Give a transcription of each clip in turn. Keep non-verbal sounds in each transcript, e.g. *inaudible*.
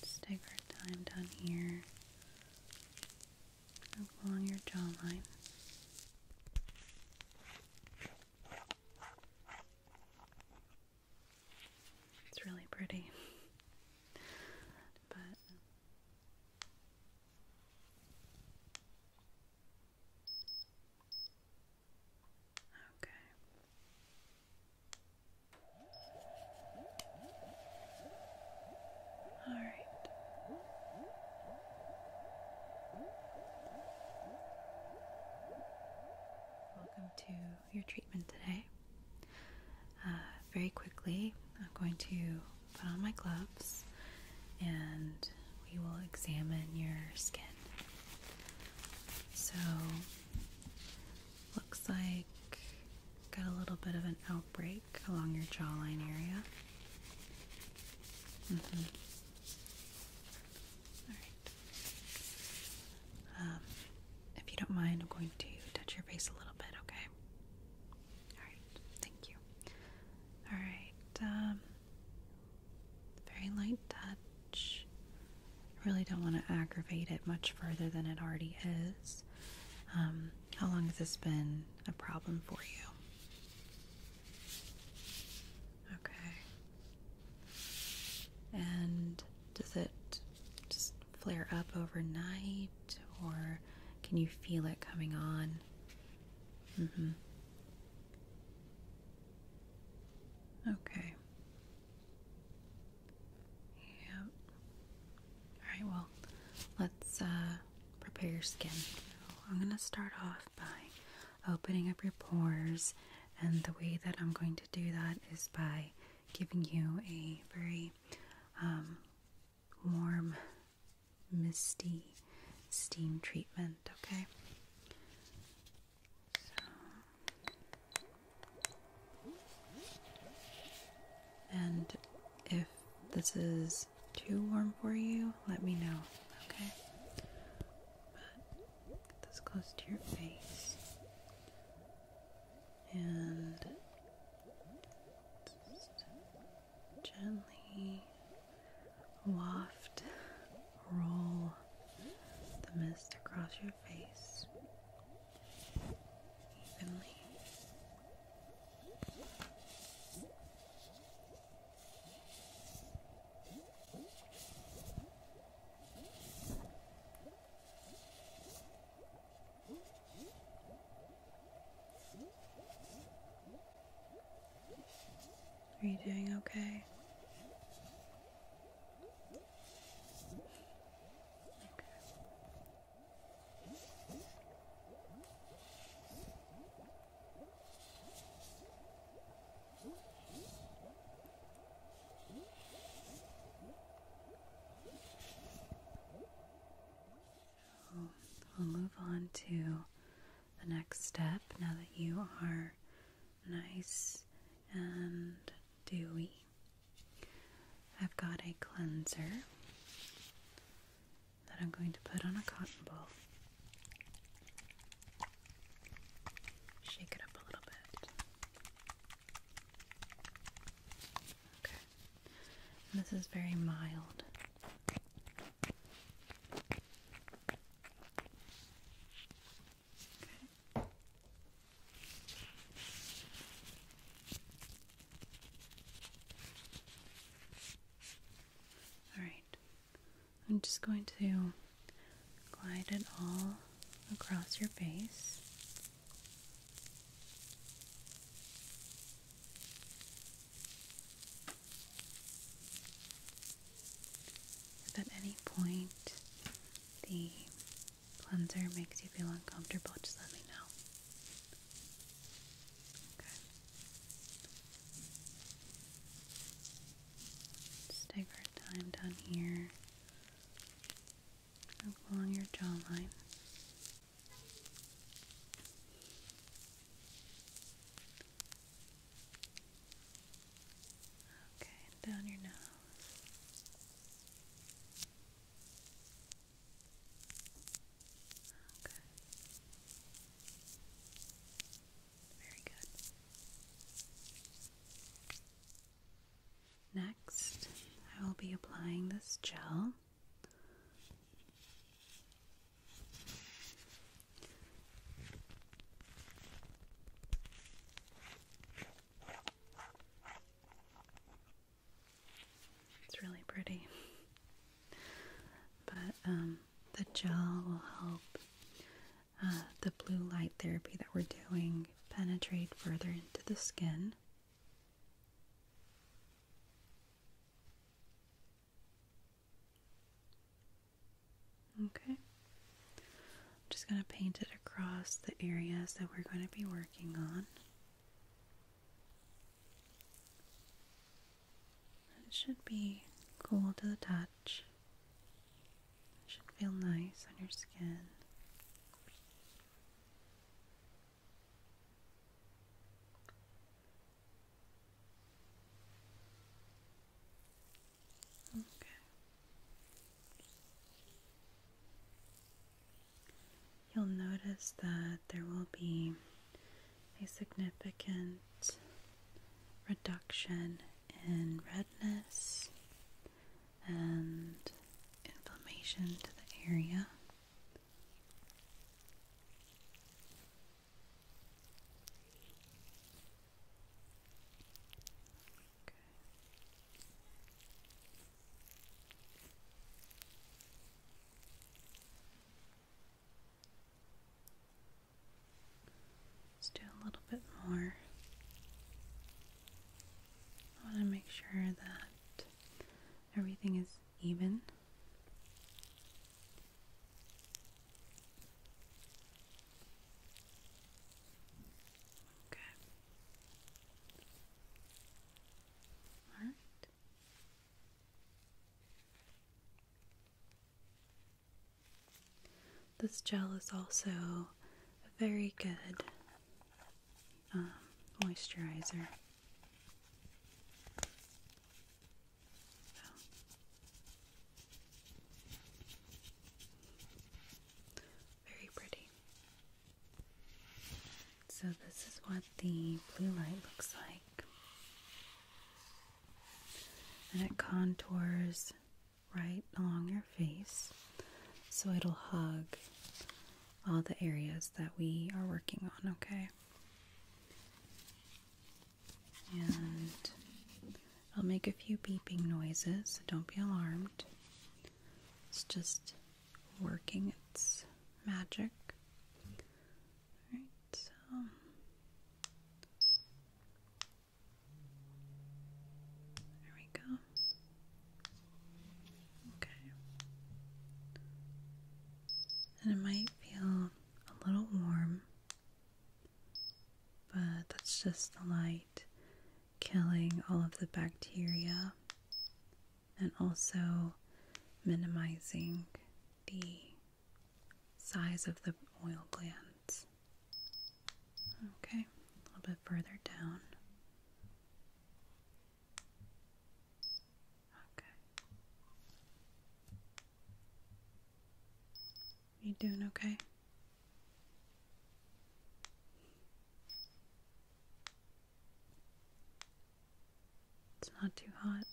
Let's take our time down here along your jawline. It's really pretty, *laughs* but okay. All right. Welcome to your treatment today. Uh, very quickly, I'm going to put on my gloves and we will examine your skin. So, looks like got a little bit of an break along your jawline area. Mm-hmm. Um, if you don't mind, I'm going to touch your face a little bit, okay? All right. Thank you. All right. Um, very light touch. I really don't want to aggravate it much further than it already is. Um, how long has this been a problem for you? Okay. And does it just flare up overnight or can you feel it coming on? Mm hmm. Okay. Yep. All right, well, let's uh, prepare your skin. I'm going to start off by opening up your pores, and the way that I'm going to do that is by giving you a very um, warm, misty steam treatment, okay? So. And if this is too warm for you, let me know, okay? But get this close to your face. And gently waft, roll the mist across your face evenly. Are you doing okay? i will move on to the next step now that you are nice and dewy. I've got a cleanser that I'm going to put on a cotton ball. Shake it up a little bit. Okay. this is very mild. Alright, I'm just going to glide it all across your face. If at any point the cleanser makes you feel uncomfortable, just let me know. Okay. let our time down here along your jawline. Okay, down your nose. Very good. Next, I will be applying this gel. It's really pretty. But um, the gel will help uh, the blue light therapy that we're doing penetrate further into the skin. Okay. I'm just going to paint it across the areas that we're going to be working on. It should be cool to the touch. It should feel nice on your skin. Okay you'll notice that there will be a significant reduction in redness and inflammation to the area. Let's do a little bit more. I want to make sure that everything is even. Okay. All right. This gel is also a very good um, moisturizer. Very pretty. So, this is what the blue light looks like. And it contours right along your face so it'll hug all the areas that we are working on, okay? And i will make a few beeping noises, so don't be alarmed. It's just working its magic. Alright, so. There we go. Okay. And it might feel a little warm, but that's just the light killing all of the bacteria and also minimizing the size of the oil glands. Okay, a little bit further down. Okay. You doing okay? It's not too hot.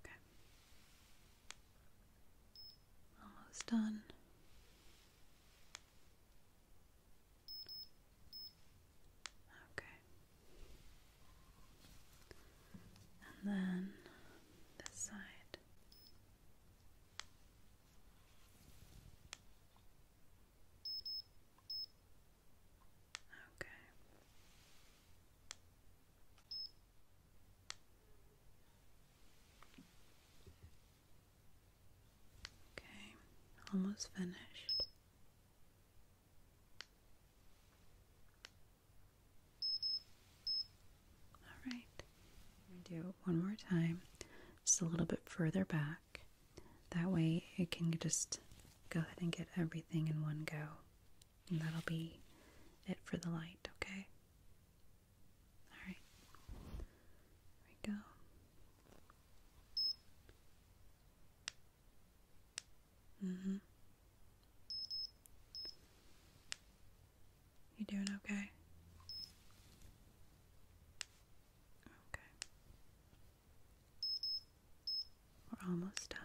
Okay. Almost done. Okay. And then this side. Okay. Okay, almost finished. All do it one more time, just a little bit further back. That way it can just go ahead and get everything in one go. And that'll be it for the light, okay? Alright. There we go. hmm You doing okay? Okay. We're almost done.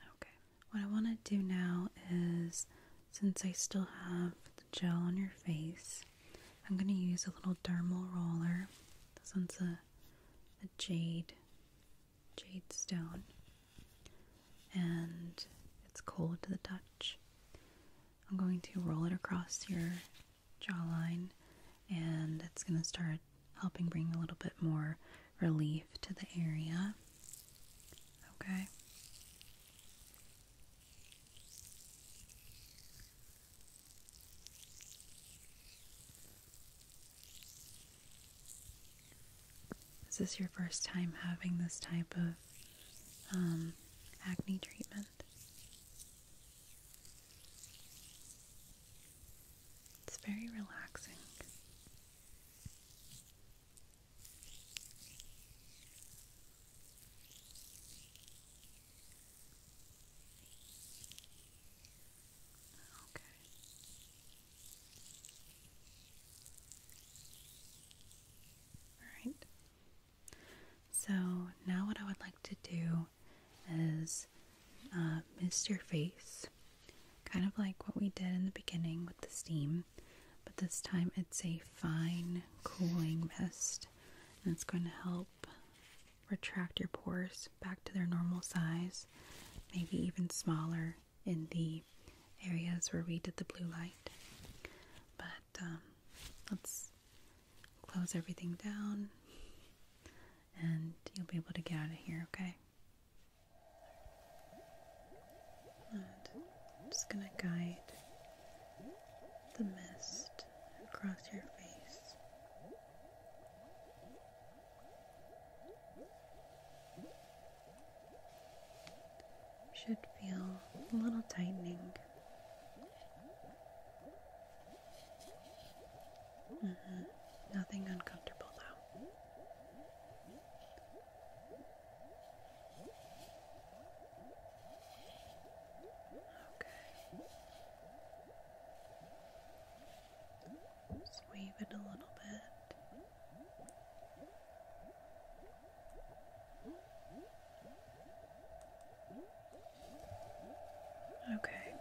Okay, what I want to do now is since I still have the gel on your face, I'm going to use a little dermal roller this one's a, a jade, jade stone, and it's cold to the touch. I'm going to roll it across your jawline, and it's going to start helping bring a little bit more relief to the area. Okay. Is this your first time having this type of um, acne treatment? It's very relaxing. Okay. Alright. So now, what I would like to do is uh, mist your face, kind of like what we did in the beginning with the steam, but this time it's a fine cooling mist, and it's going to help retract your pores back to their normal size, maybe even smaller in the areas where we did the blue light. But um, let's close everything down and you'll be able to get out of here, okay? I'm just gonna guide the mist across your face. Should feel a little tightening. Mm-hmm. Nothing uncomfortable though. Okay. Just it a little bit. Okay.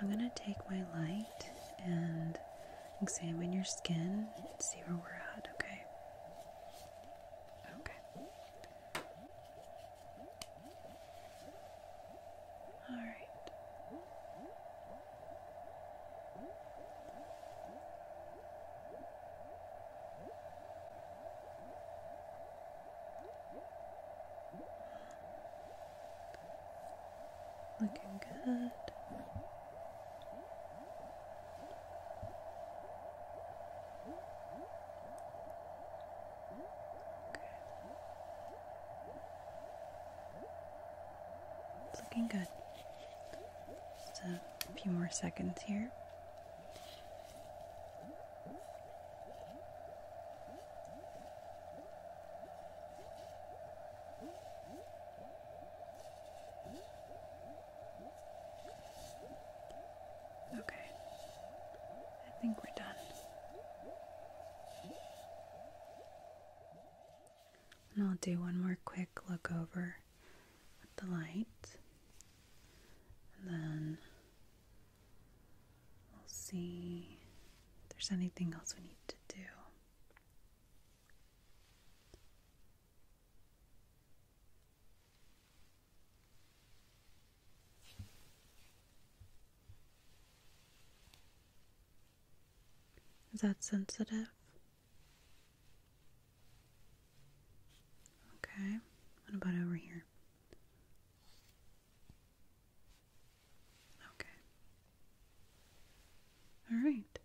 I'm going to take my light and examine your skin and see where we're at, okay? Okay. All right. Looking good. It's looking good. Just a few more seconds here. Okay, I think we're done. And I'll do one more quick look over with the light, and then we'll see if there's anything else we need to do. Is that sensitive? Okay, what about over here? Okay. All right,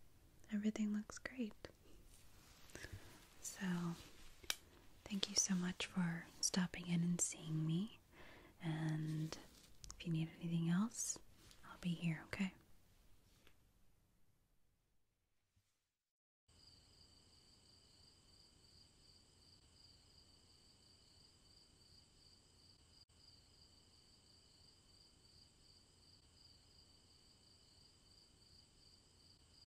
everything looks great. So, thank you so much for stopping in and seeing me. And if you need anything else, I'll be here, okay?